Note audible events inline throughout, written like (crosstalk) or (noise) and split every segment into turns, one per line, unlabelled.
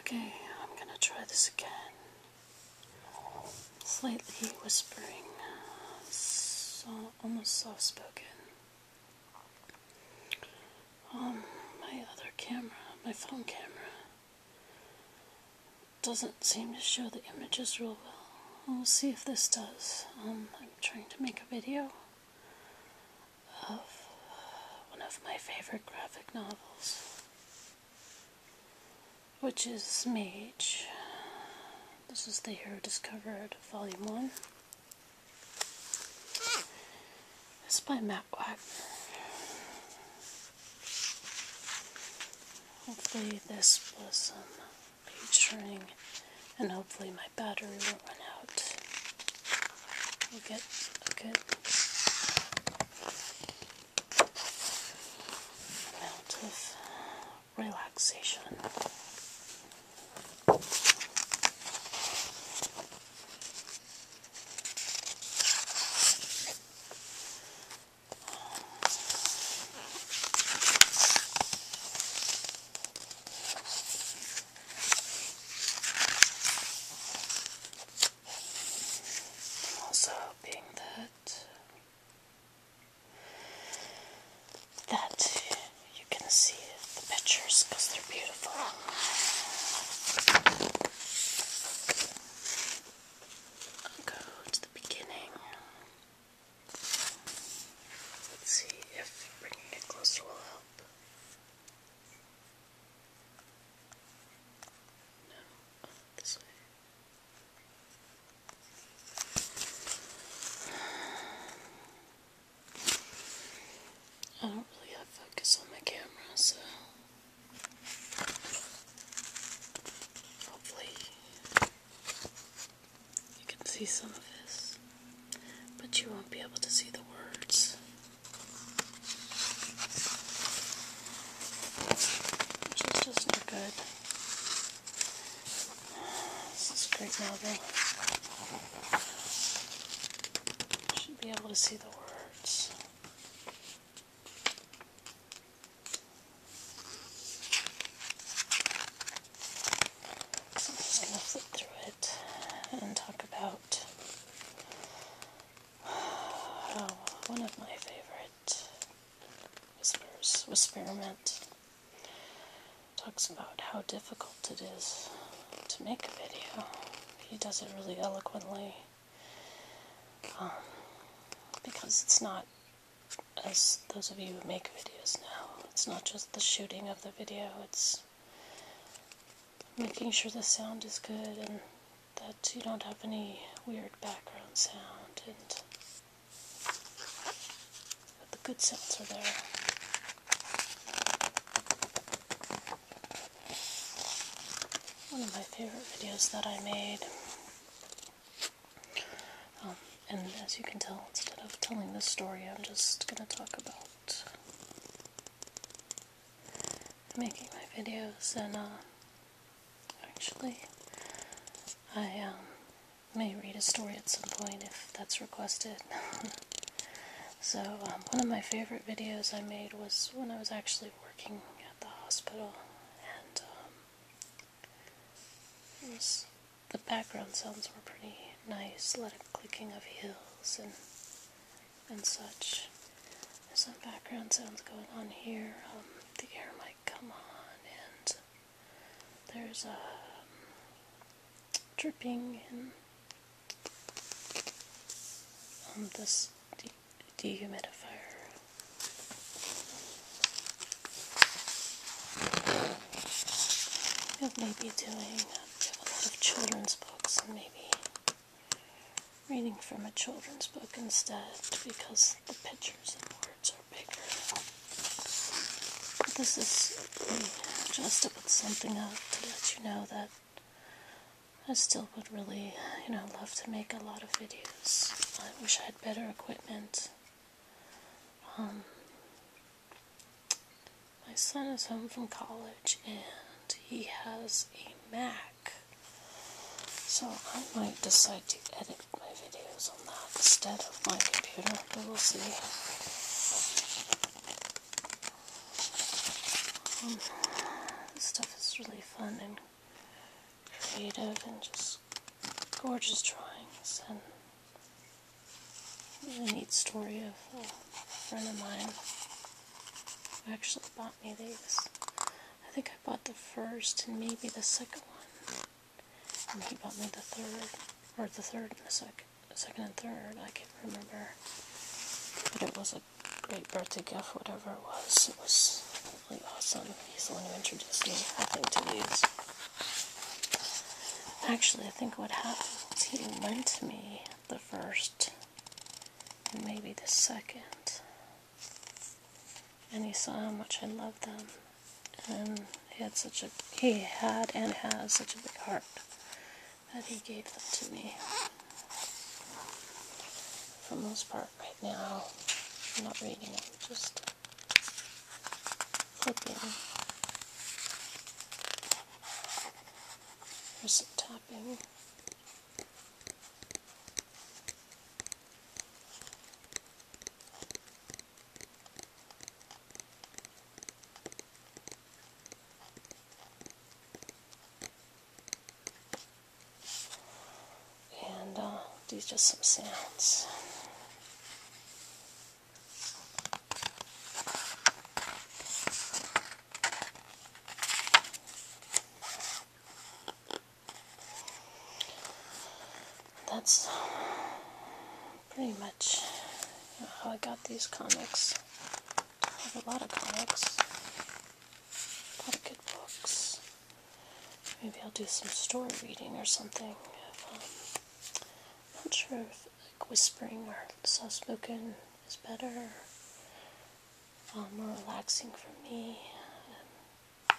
Okay, I'm going to try this again. Slightly whispering, almost soft spoken. Um, my other camera, my phone camera, doesn't seem to show the images real well. We'll see if this does. Um, I'm trying to make a video of one of my favorite graphic novels, which is Mage. This is The Hero Discovered, Volume 1. It's by Matt Wagner. Hopefully this was um, page turning and hopefully my battery will run out. We'll get a good amount of relaxation. I'm also hoping that that you can see the pictures because they're beautiful i go to the beginning. Let's see if bringing it closer will help. No, this way. I don't really have focus on my camera, so Hopefully, you can see some of this, but you won't be able to see the words. just not good. This is great novel. should be able to see the words. So I'm just going to flip through it and talk about oh, one of my favorite whispers, Whisperment. Talks about how difficult it is to make a video. He does it really eloquently because it's not, as those of you who make videos now. it's not just the shooting of the video, it's making sure the sound is good and that you don't have any weird background sound and the good sounds are there. One of my favorite videos that I made um, and as you can tell, instead of telling this story, I'm just going to talk about making my videos. And uh, actually, I um, may read a story at some point if that's requested. (laughs) so um, one of my favorite videos I made was when I was actually working the hospital, and um, the background sounds were pretty nice, a lot of clicking of heels and and such. There's some background sounds going on here. Um, the air might come on, and there's a um, dripping and um, this dehumidifier. It may be doing, um, a lot of children's books and maybe reading from a children's book instead because the pictures and words are bigger. this is just to put something up to let you know that I still would really, you know, love to make a lot of videos. I wish I had better equipment. Um, my son is home from college and he has a Mac. So I might decide to edit my videos on that instead of my computer, but we'll see. this um, stuff is really fun and creative and just gorgeous drawings and a neat story of a friend of mine who actually bought me these. I think I bought the first and maybe the second one. And he bought me the third, or the third and the second, second and third, I can't remember. But it was a great birthday gift, whatever it was. It was really awesome. He's the one who introduced me, I think, to these. Actually, I think what happened was he lent me the first and maybe the second. And he saw how much I loved them. And he had such a he had and has such a big heart that he gave them to me. For the most part right now. I'm not reading it, just flipping. There's some tapping and uh, do just some sounds. That's pretty much how I got these comics. I have a lot of comics pocket books. Maybe I'll do some story reading or something. I'm um, not sure if whispering or soft spoken is better, um, more relaxing for me. Um,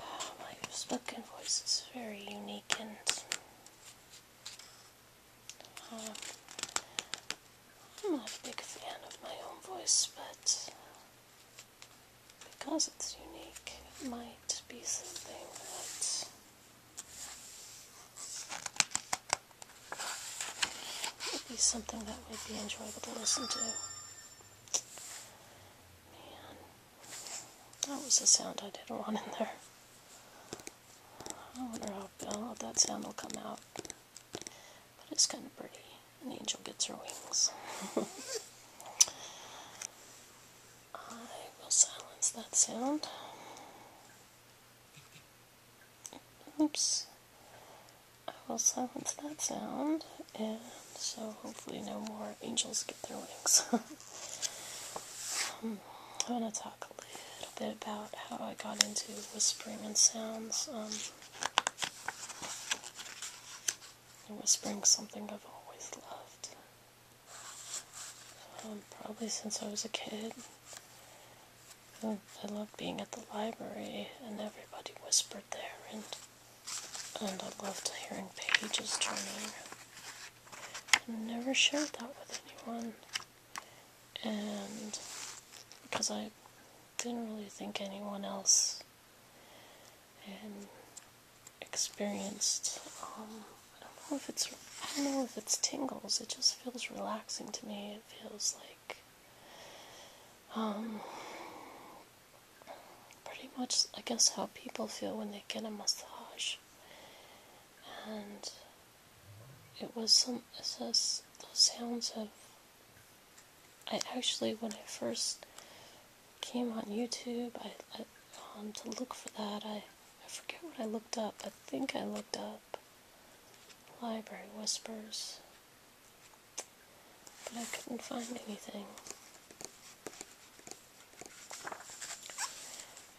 oh, my spoken voice is very unique and I'm not a big fan of my own voice, but because it's unique, it might be something that would be something that would be enjoyable to listen to. Man, that was a sound I didn't want in there. I wonder how, that sound will come out. But it's kind of pretty. An angel gets her wings. (laughs) I will silence that sound. Oops. I will silence that sound, and so hopefully no more angels get their wings. (laughs) i want to talk a little bit about how I got into whispering um, and sounds. whispering something I've always loved. Um, probably since I was a kid. I love being at the library and everybody whispered there and and I love hearing pages turning. I never shared that with anyone and because I didn't really think anyone else experienced um, I don't know if it's I don't know if it's tingles, it just feels relaxing to me. It feels like um pretty much I guess how people feel when they get a massage. And it was some it sounds of I actually when I first came on YouTube I, I um, to look for that I I forget what I looked up I think I looked up library whispers but I couldn't find anything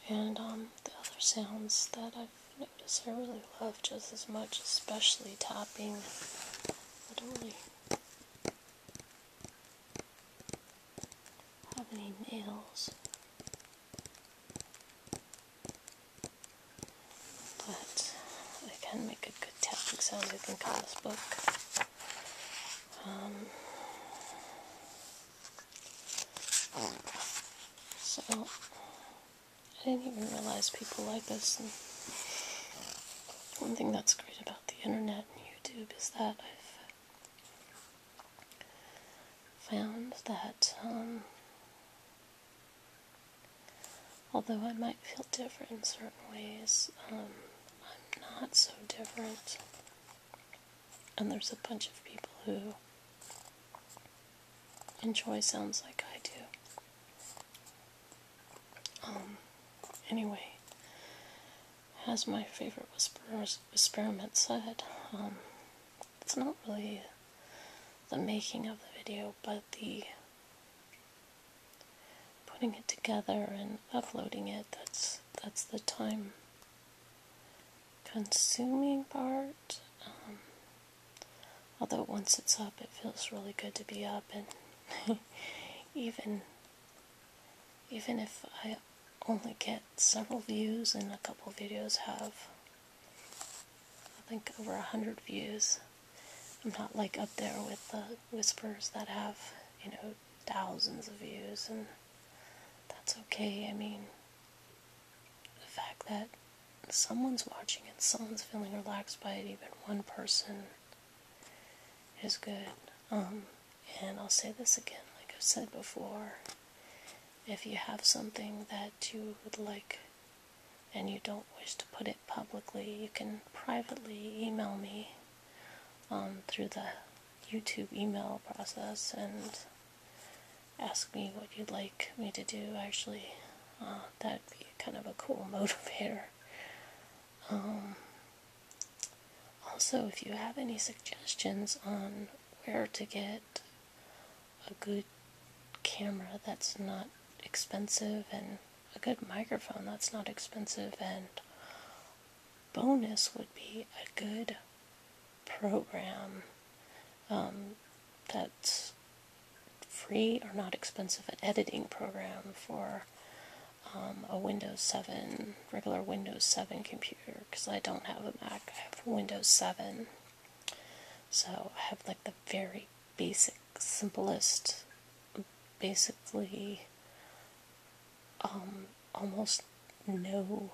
and um, the other sounds that I've noticed I really love just as much, especially tapping. I don't really have any nails. But I can make a good tapping sound. You can call book. Um, so, I didn't even realize people like us. one thing that's great about the internet and YouTube is that I've found that, um, although I might feel different in certain ways, um, I'm not so different. And there's a bunch of people who enjoy sounds like I do. Um, anyway, as my favorite whisperers experiment said, um, it's not really the making of the video, but the putting it together and uploading it. That's that's the time consuming part. Um, although once it's up, it feels really good to be up, and (laughs) even even if I only get several views, and a couple videos have I think over a hundred views. I'm not like up there with the whispers that have you know thousands of views, and that's okay. I mean, the fact that someone's watching and someone's feeling relaxed by it, even one person, is good. Um, and I'll say this again, like I've said before, if you have something that you would like and you don't wish to put it publicly, you can privately email me um, through the YouTube email process and ask me what you'd like me to do, actually. Uh, that'd be kind of a cool (laughs) motivator. Um, also, if you have any suggestions on where to get a good camera that's not expensive and a good microphone that's not expensive, and bonus would be a good program um, that's free or not expensive an editing program for um, a Windows 7, regular Windows 7 computer, because I don't have a Mac, I have Windows 7. So I have like the very basic, simplest, basically um, almost no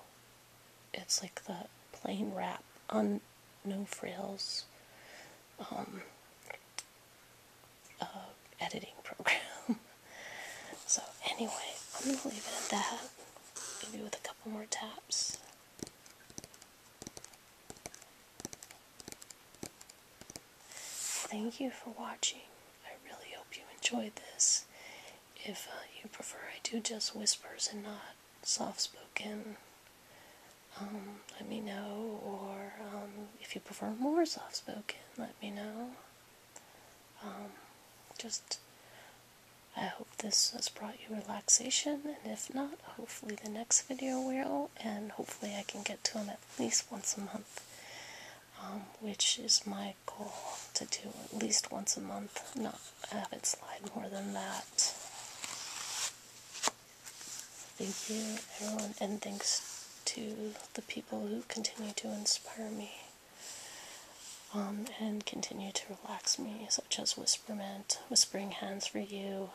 it's like the plain wrap on no frills um, uh, editing program. (laughs) so anyway, I'm gonna leave it at that. Maybe with a couple more taps. Thank you for watching. I really hope you enjoyed this. If uh, you prefer, I do just whispers and not soft spoken. Um, let me know, or um, if you prefer more soft spoken, let me know. Um, just, I hope this has brought you relaxation, and if not, hopefully the next video will, and hopefully I can get to them at least once a month, which is my goal to do at least once a month, not have it slide more than that. Thank you, everyone, and thanks to the people who continue to inspire me um, and continue to relax me, such as Whisperment, Whispering Hands for You,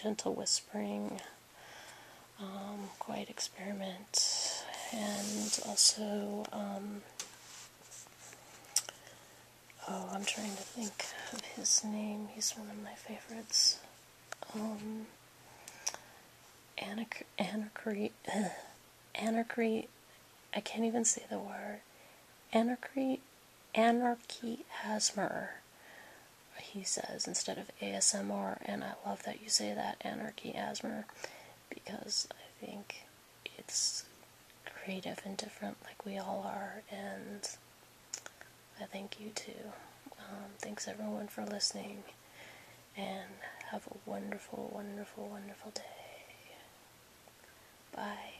Gentle Whispering, um, Quiet Experiment, and also. Um, Oh, I'm trying to think of his name. He's one of my favorites. Um, anarchy, anarchy, (sighs) anarchy. I can't even say the word. Anarchy, anarchy ASMR. He says instead of ASMR, and I love that you say that anarchy ASMR because I think it's creative and different like we all are and I thank you too. Um, thanks everyone for listening and have a wonderful, wonderful, wonderful day. Bye.